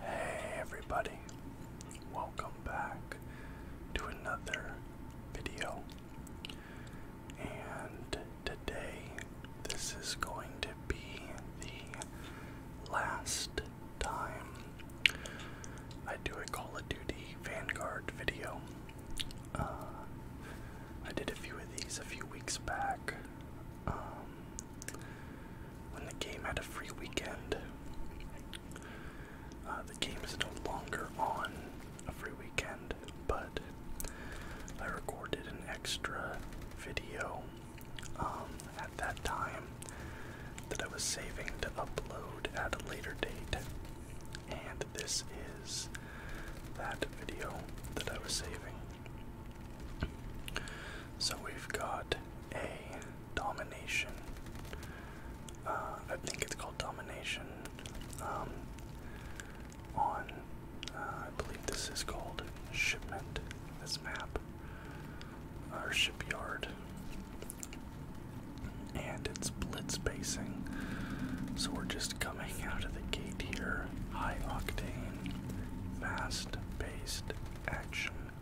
Hey everybody, welcome back to another video. And today, this is going to be the last time I do a Call of Duty Vanguard video. Uh, I did a few of these a few weeks back. Um, when the game had a free weekend. Uh, the game is no longer on a free weekend, but I recorded an extra video um, at that time that I was saving to upload at a later date, and this is that video that I was saving. So we've got a domination. Uh, I think it's called domination. Um, on, uh, I believe this is called shipment. This map, our shipyard, and it's blitz basing. So we're just coming out of the gate here. High octane, fast-paced action.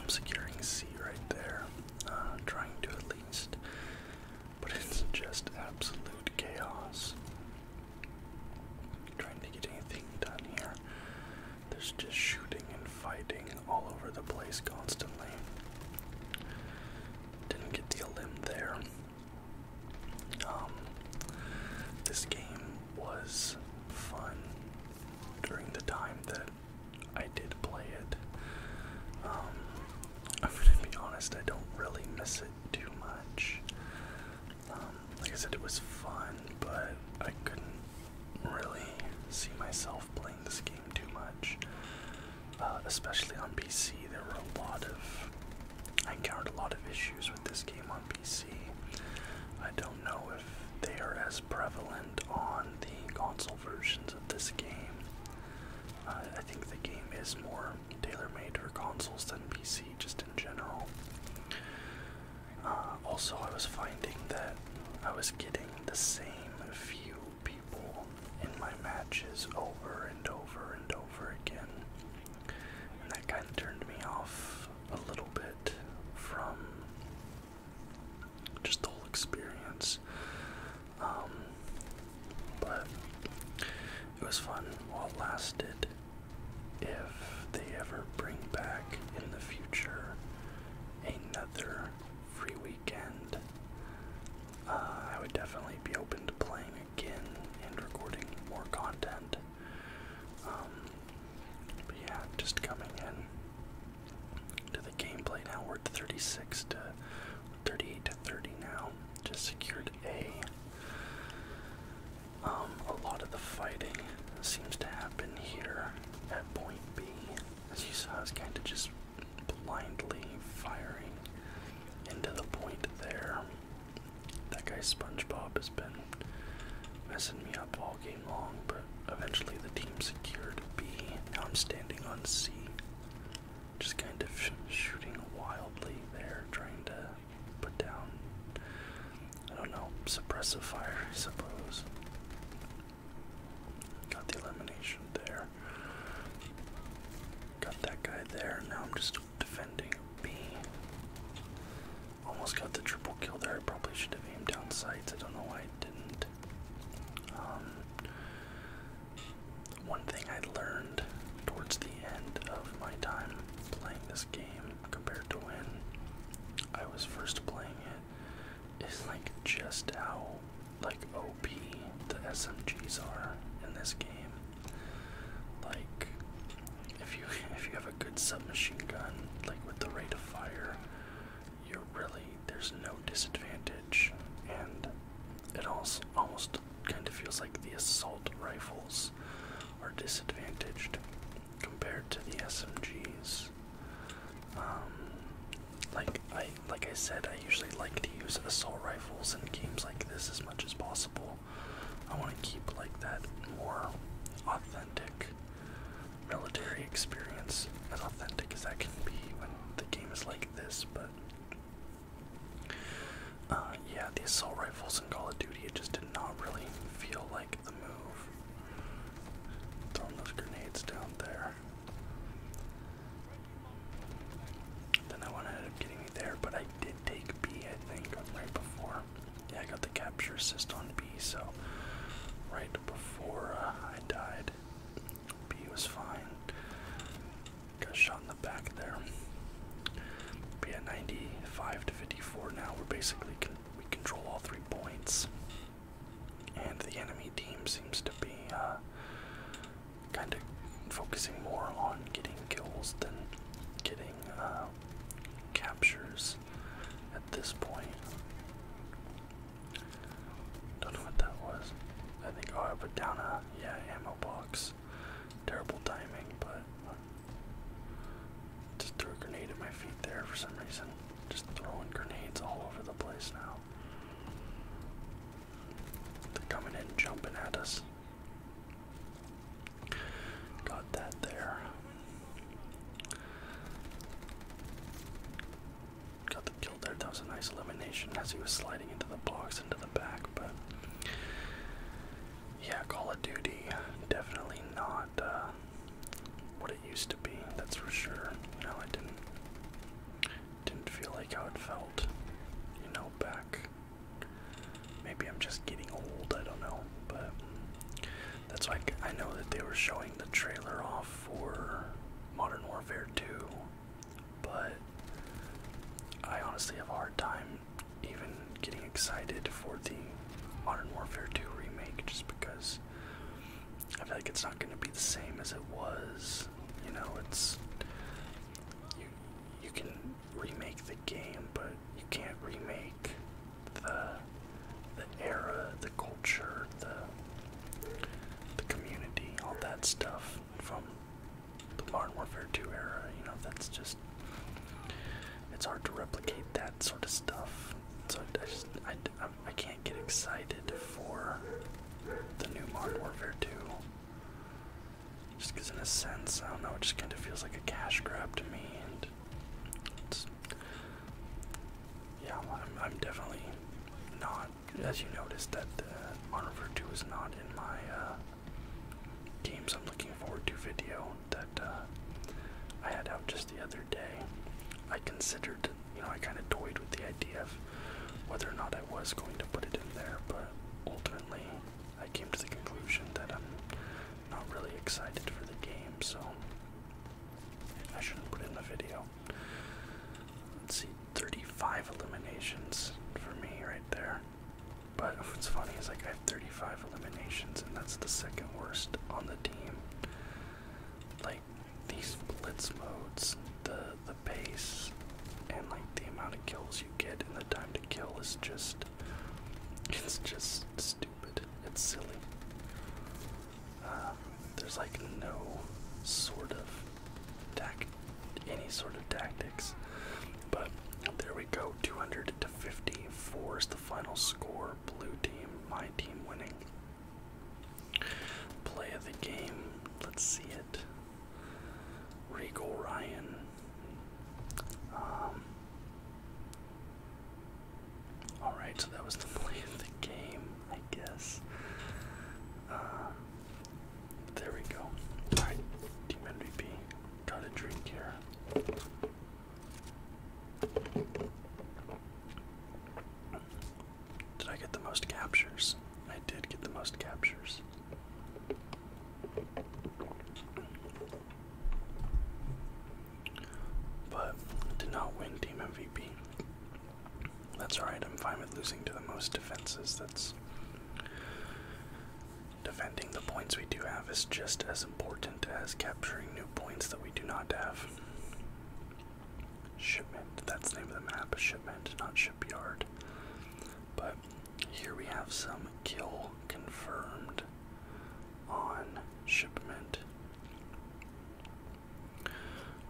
I'm securing C right there, uh, trying to at least, but it's just absolute chaos. Trying to get anything done here. There's just shooting and fighting all over the place constantly. Didn't get the limb there. Um, this game was fun during the time that I did play it. Um, I'm gonna be honest, I don't really miss it too much. Um, like I said, it was fun, but I couldn't really see myself playing this game too much. Uh, especially on PC, there were a lot of. I encountered a lot of issues this game on PC. I don't know if they are as prevalent on the console versions of this game. I think the game is more tailor-made for consoles than PC, just in general. Uh, also, I was finding that I was getting the same few people in my matches over and over and over again, and that kind of turned me off a little bit from just the whole experience. Um, but it was fun while it lasted. If they ever bring back in the future another free weekend, uh, I would definitely be open to playing again and recording more content. Um, but yeah, just coming in to the gameplay now. We're at 36 to 38 to 30 now. Just secured A. Um, a lot of the fighting seems to happen here at point B. As you saw, I was kind of just blindly firing into the point there. That guy SpongeBob has been messing me up all game long, but eventually the team secured B. Now I'm standing on C. Just kind of shooting wildly there, trying to put down, I don't know, suppressive fire, I suppose. Got the elimination there. Got that guy there. Now I'm just defending B. Almost got the triple kill there. I probably should have aimed down sights. I don't know why I didn't. Um, one thing I learned towards the end of my time playing this game compared to when I was first playing it is like just how like OP the SMGs are in this game. Like if you if you have a good submachine gun, like with the rate of fire, you're really there's no disadvantage, and it also almost kind of feels like the assault rifles are disadvantaged compared to the SMGs. Um, like I like I said, I usually like to use assault rifles in games like this as much as possible. I want to keep like that more authentic military experience as authentic as that can be when the game is like this, but uh, yeah, the assault rifles in Call of Duty, it just did not really feel like the move. Throwing those grenades down there. Then I wanted to up getting me there, but I did take B, I think, right before yeah, I got the capture assist on B, so right before uh, I died, B was fine. Got shot in the back there. But yeah, 95 to 54 now. We're basically con we control all three points, and the enemy team seems to be uh, kind of focusing more on getting kills than getting uh, captures at this point. Don't know what that was. I think, oh, I put down a, uh, yeah, ammo box. Terrible timing, but just threw a grenade at my feet there for some reason. Just throwing grenades all over the place now. They're coming in, jumping at us. Got that there. Got the kill there. That was a nice elimination as he was sliding into the box, into the back. But yeah, Call of Duty definitely not uh, what it used to be. That's for sure. No, know, I didn't didn't feel like how it felt. You know, back. Maybe I'm just getting old. I don't know, but. That's why I know that they were showing the trailer off for Modern Warfare 2, but I honestly have a hard time even getting excited for the Modern Warfare 2 remake just because I feel like it's not going to be the same as it was. You know, it's you can remake the game, but you can't remake the the era, the culture, the the community, all that stuff from the Modern Warfare 2 era, you know, that's just it's hard to replicate that sort of stuff. So I just I, I, I can't get excited for the new Modern Warfare 2. Just because, in a sense, I don't know, it just kind of feels like a cash grab to me, and yeah, I'm, definitely not, as you noticed, that uh, Modern Warfare 2 is not in my uh, games I'm looking forward to video that uh, I had out just the other day. I considered, you know, I kind of toyed with the idea of whether or not I was going to put it in there, but ultimately I came to the conclusion that I'm not really excited for the game, so I should not put in the video. Let's see, 35 eliminations for me right there. But what's funny is like I have 35 eliminations, and that's the second worst on the team. Like these blitz modes, the the pace, and like the amount of kills you get and the time to kill is just it's just stupid. It's silly. Um, there's like no sort of tact, any sort of tactics. But there we go, 200 to 54 is the final score. Blue team, my team winning. Play of the game, let's see it. Regal Ryan. Um, Alright, so that was the play of the game, I guess. Uh, there we go. Alright, Team MVP got a drink here. Did I get the most captures? I did get the most captures but did not win team MVP. That's alright, I'm fine with losing to the most defenses. That's defending the points we do have is just as important as capturing new points that we do not have. Shipment, that's the name of the map, shipment, not shipyard. But here we have some kill confirmed on shipment.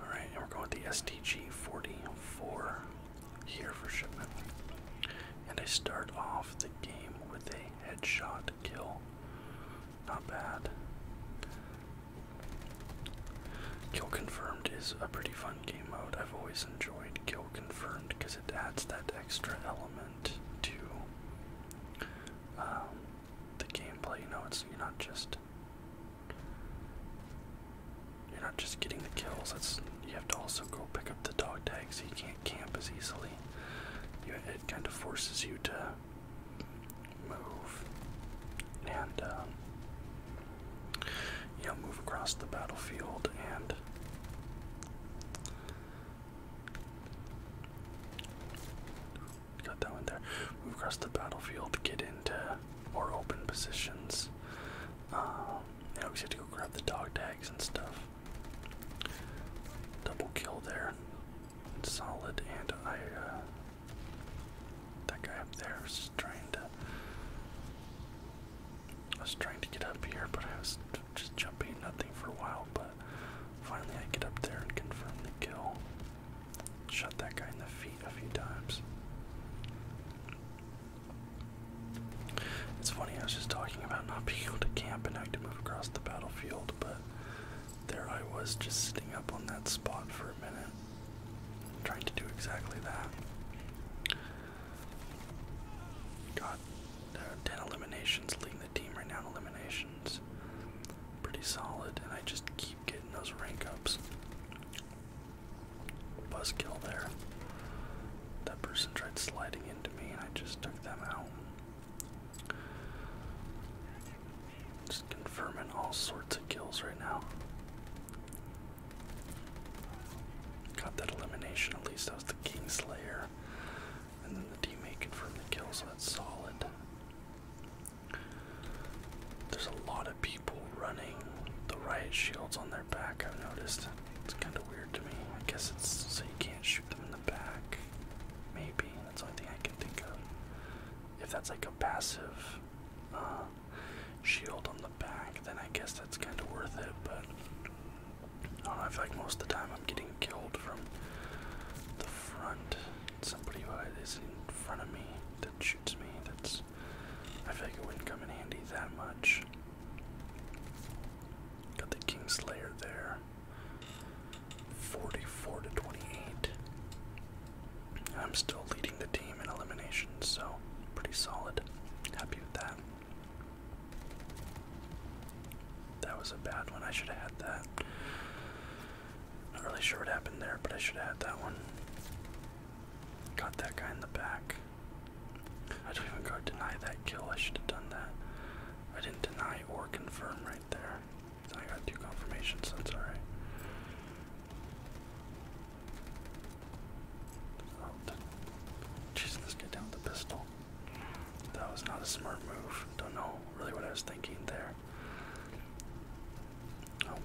Alright, and we're going with the SDG 44 here for shipment. And I start off the game with a headshot kill. Not bad. Kill Confirmed is a pretty fun game mode. I've always enjoyed Kill Confirmed because it adds that extra element to um, the gameplay. You know, it's you're not just you're not just getting the kills. That's you have to also go pick up the dog tags. So you can't camp as easily. it kind of forces you to move and um, you move across the battlefield and got that one there. Move across the battlefield, to get into more open positions. Um, you always have to go grab the dog tags and stuff. Double kill there. Solid, and I, uh, that guy up there was trying to, I was trying to get up here, but I was just jumping nothing for a while, but Finally, I get up there and confirm the kill. Shot that guy in the feet a few times. It's funny, I was just talking about not being able to camp and have to move across the battlefield, but there I was just sitting up on that spot for a minute, trying to do exactly that. Got uh, 10 eliminations, leading the team right now eliminations pretty solid, and I just keep getting those rank ups. Buzzkill there. That person tried sliding into me, and I just took them out. Just confirming all sorts of kills right now. Got that elimination, at least that was the Kingslayer. And then the teammate confirmed the kill, so that's solid. There's a lot of people running the riot shields on their back, I've noticed. It's kind of weird to me. I guess it's so you can't shoot them in the back. Maybe. That's the only thing I can think of. If that's like a passive uh, shield on the back, then I guess that's kind of worth it, but I do most of the time I'm getting killed from the front somebody who is in front of me that shoots me. That's I feel like it wouldn't come in handy that much. Got the Kingslayer there. 44 to 28. I'm still leading the team in eliminations, so pretty solid. Happy with that. That was a bad one. I should have had that. Not really sure what happened there, but I should have had that one. Got that guy in the back. I don't even go deny that kill. I should have done that. I didn't deny or confirm right there. I got two confirmations, so that's alright. Oh, Jesus, this down the pistol. That was not a smart move. Don't know really what I was thinking there. Oh,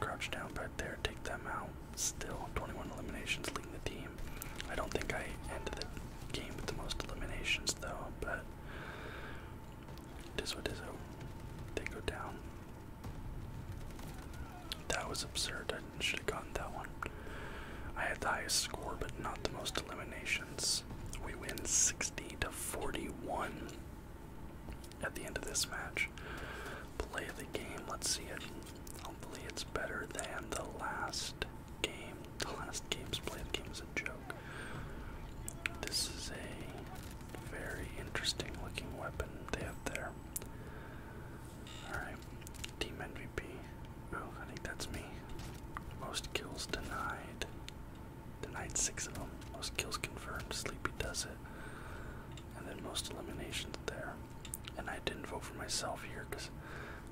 crouch down back there, take them out. Still, 21 eliminations leading the team. I don't think I ended the game with the most eliminations though, but it is what it is. they go down. That was absurd. I should have gotten that one. I had the highest score, but not the most eliminations. We win 60 to 41 at the end of this match. Play the game, let's see it. Hopefully, it's better than the last game. The last game's play the game is a joke. This is a very interesting looking weapon they have there. Alright, team MVP. Oh, I think that's me. Most kills denied. Denied six of them. Most kills confirmed. Sleepy does it. And then most eliminations there. And I didn't vote for myself here because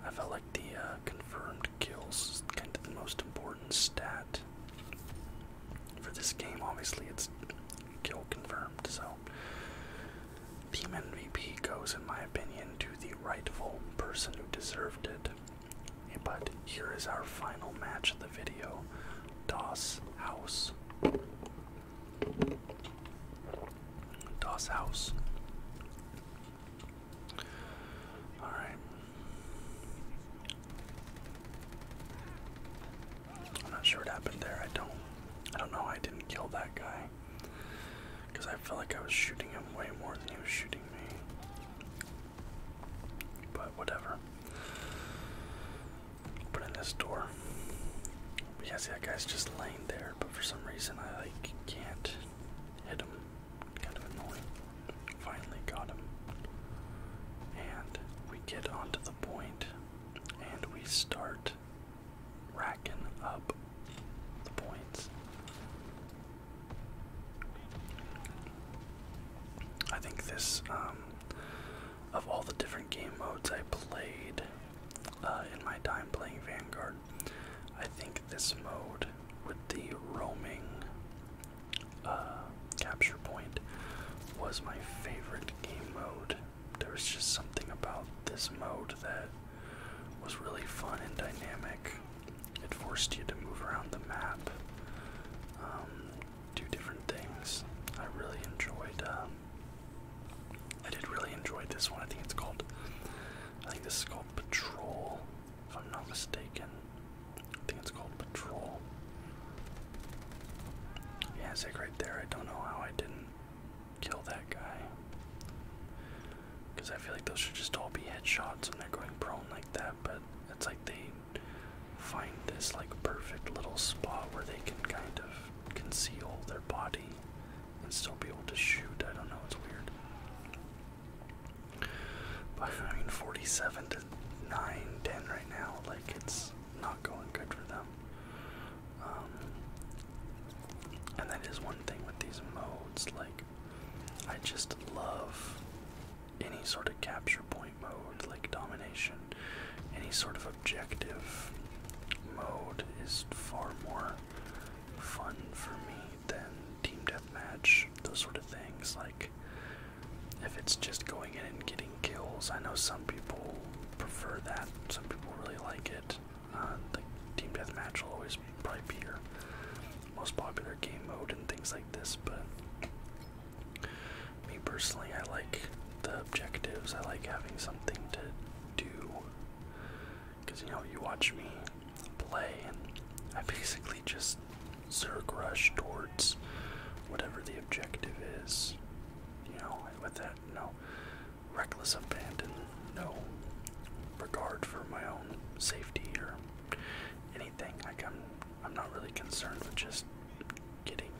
I felt like the uh, confirmed kills kind of the most important stat for this game. Obviously, it's kill confirmed. So, Team MVP goes, in my opinion, to the rightful person who deserved it. But here is our final match of the video DOS House. DOS House. Alright. I'm not sure what happened there. I don't I don't know I didn't kill that guy. Because I felt like I was shooting him way more than he was shooting me. But whatever. Open in this door. But that guy's just laying there, but for some reason I like can't hit him. Kind of annoying. Finally got him. And we get onto the point and we start racking up the points. I think this, um, of all the different game modes I played uh, in my time playing Vanguard, I think this mode with the roaming uh, capture point was my favorite game mode. There was just something about this mode that was really fun and dynamic. It forced you to move around the map. Um, do different things. I really enjoyed. Um, I did really enjoy this one. I think it's called. I think this is called Patrol, if I'm not mistaken. I think it's called Patrol. Yeah, it's like right there. I don't know how I didn't kill that guy. Because I feel like those should just all be headshots when they're going prone like that, but it's like they find this like perfect little spot where they can kind of conceal their body and still be able to shoot. I don't know, it's weird. I mean 47 to 9, 10 right now, like it's not going good for them. Um, and that is one thing with these modes, like I just love any sort of capture point mode, like domination, any sort of objective mode is far more fun for me than team deathmatch, those sort of things. Like, if it's just going in and getting kills, I know some people prefer that, some people really like it. Uh, the team deathmatch will always probably be your most popular game mode and things like this, but me personally, I like the objectives. I like having something to do. Because, you know, you watch me play, and I basically just zerk rush towards whatever the objective is. You know, with that, no reckless abandon, no regard for my own safety or anything. Like, I'm I'm not really concerned with just getting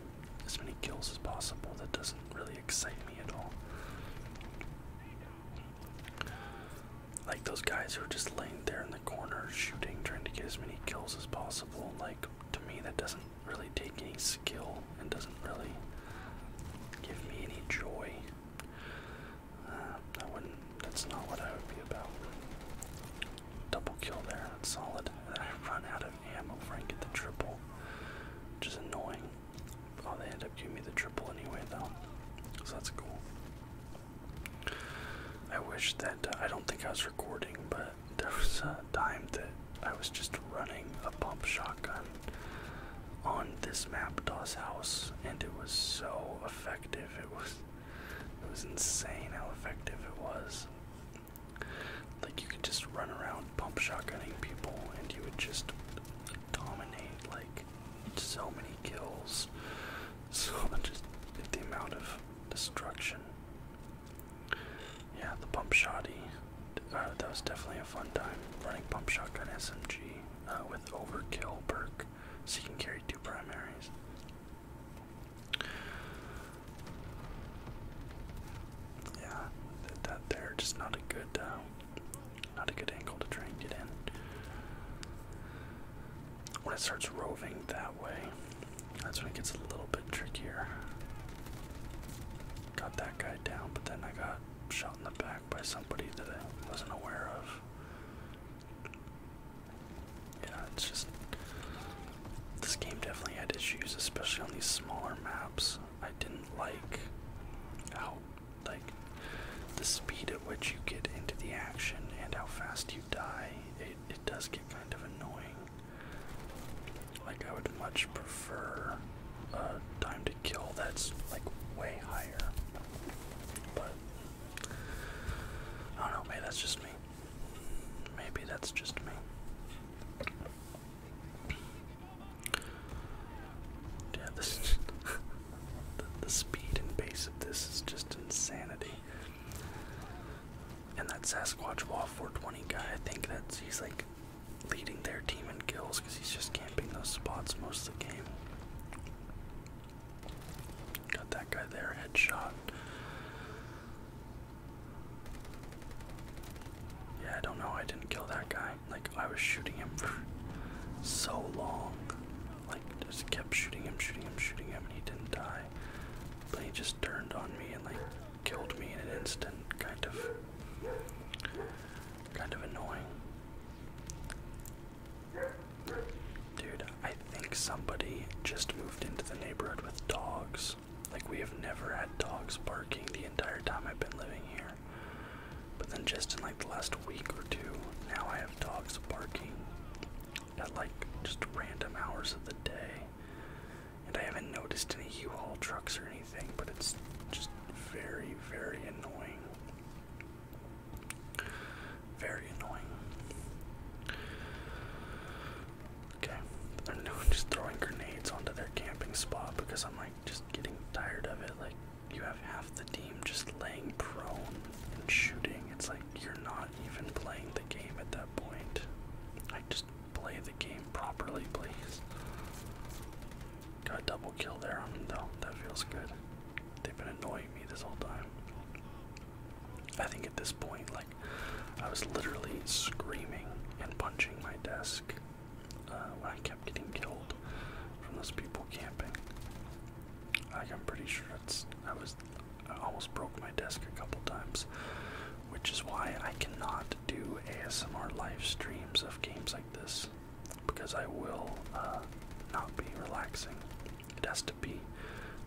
as many kills as possible. That doesn't really excite me at all. Like those guys who are just laying there in the corner shooting, trying to get as many kills as possible. Like to me, that doesn't really take any skill and doesn't really give me any joy. Uh, wouldn't. That's not what I would be about. Double kill there, that's solid. And I run out of ammo before I get the triple, which is annoying. Oh, they end up giving me the triple anyway, though, so that's cool. I wish that uh, I don't think I was recording, but there was a time that I was just running a pump shotgun on this map, Dawes House, and it was so effective. It was, it was insane how effective it was. Like you could just run around pump shotgunning people and you would just dominate like so many kills. So just the amount of destruction. Yeah, the pump shotty. Uh, that was definitely a fun time running pump shotgun SMG uh, with overkill perk, so you can carry two primaries. Yeah, that, that they just not a good, uh, not a good angle to try and get in. When it starts roving that way, that's when it gets a little bit trickier. Got that guy down, but then I got shot in the back by somebody that I wasn't aware of. Yeah, it's just this game definitely had issues, especially on these smaller maps. I didn't like how like the speed at which you get into the action and how fast you die. It it does get kind of annoying. Like I would much prefer a uh, time to kill that's like way higher. But I don't know, maybe that's just me. Maybe that's just me. Yeah, this is the, the speed and pace of this is just insanity. And that Sasquatch Wall 420 guy, I think that he's like leading their team in kills because he's just camping those spots most of the game. Got that guy there, headshot. Yeah, I don't know. I didn't kill that guy. Like, I was shooting him for so long. Like, just kept shooting him, shooting him, shooting him, and he didn't die. But he just turned on me and, like, killed me in an instant. Kind of. Kind of annoying. Dude, I think somebody just moved into the neighborhood with dogs. Like, we have never had dogs barking the entire time I've been living here. But then, just in like the last week or two, now I have dogs barking at like just random hours of the day. And I haven't noticed any U Haul trucks or anything, but it's just very, very annoying. Very annoying. Okay. I'm now just throwing grenades onto their camping spot because I'm like just getting tired of it. Like you have half the team just laying prone and shooting. It's like you're not even playing the game at that point. I just play the game properly, please. Got a double kill there on them though. That feels good. They've been annoying me this whole time. I think at this point, like I was literally screaming and punching my desk uh, when I kept getting killed from those people camping. Like I'm pretty sure it's I was I almost broke my desk a couple times, which is why I cannot do ASMR live streams of games like this because I will uh, not be relaxing. It has to be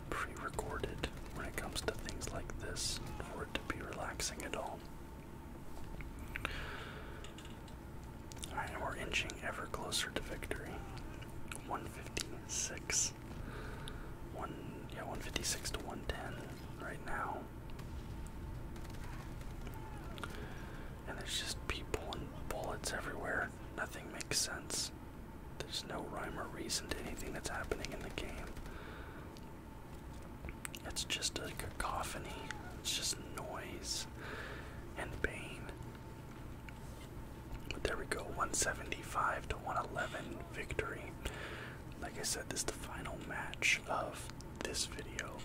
pre-recorded when it comes to things like this for it to be relaxing at all. Alright, and we're inching ever closer to victory. 156. One yeah, 156 to 110 right now. And there's just people and bullets everywhere. Nothing makes sense. There's no rhyme or reason to anything that's happening in the game. It's just a cacophony. It's just noise and pain. But there we go, 175 to 111 victory. Like I said, this is the final match of this video.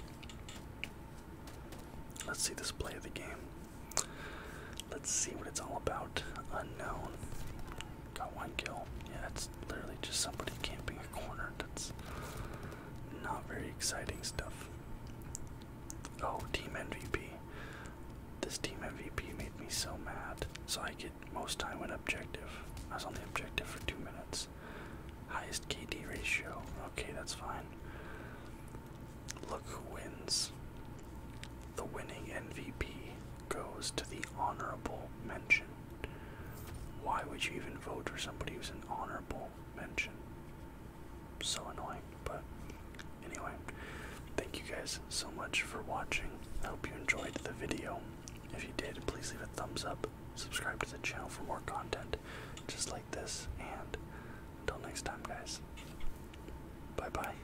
Let's see this play of the game. Let's see what it's all about. Unknown. Got one kill. Yeah, that's literally just somebody camping a corner. That's not very exciting stuff. Oh, team MVP. This team MVP made me so mad. So I get most time in objective. I was on the objective for two minutes. Highest KD ratio. Okay, that's fine. Look who wins. The winning MVP goes to the honorable mention why would you even vote for somebody who's an honorable mention? So annoying, but anyway, thank you guys so much for watching. I hope you enjoyed the video. If you did, please leave a thumbs up, subscribe to the channel for more content just like this, and until next time, guys, bye bye.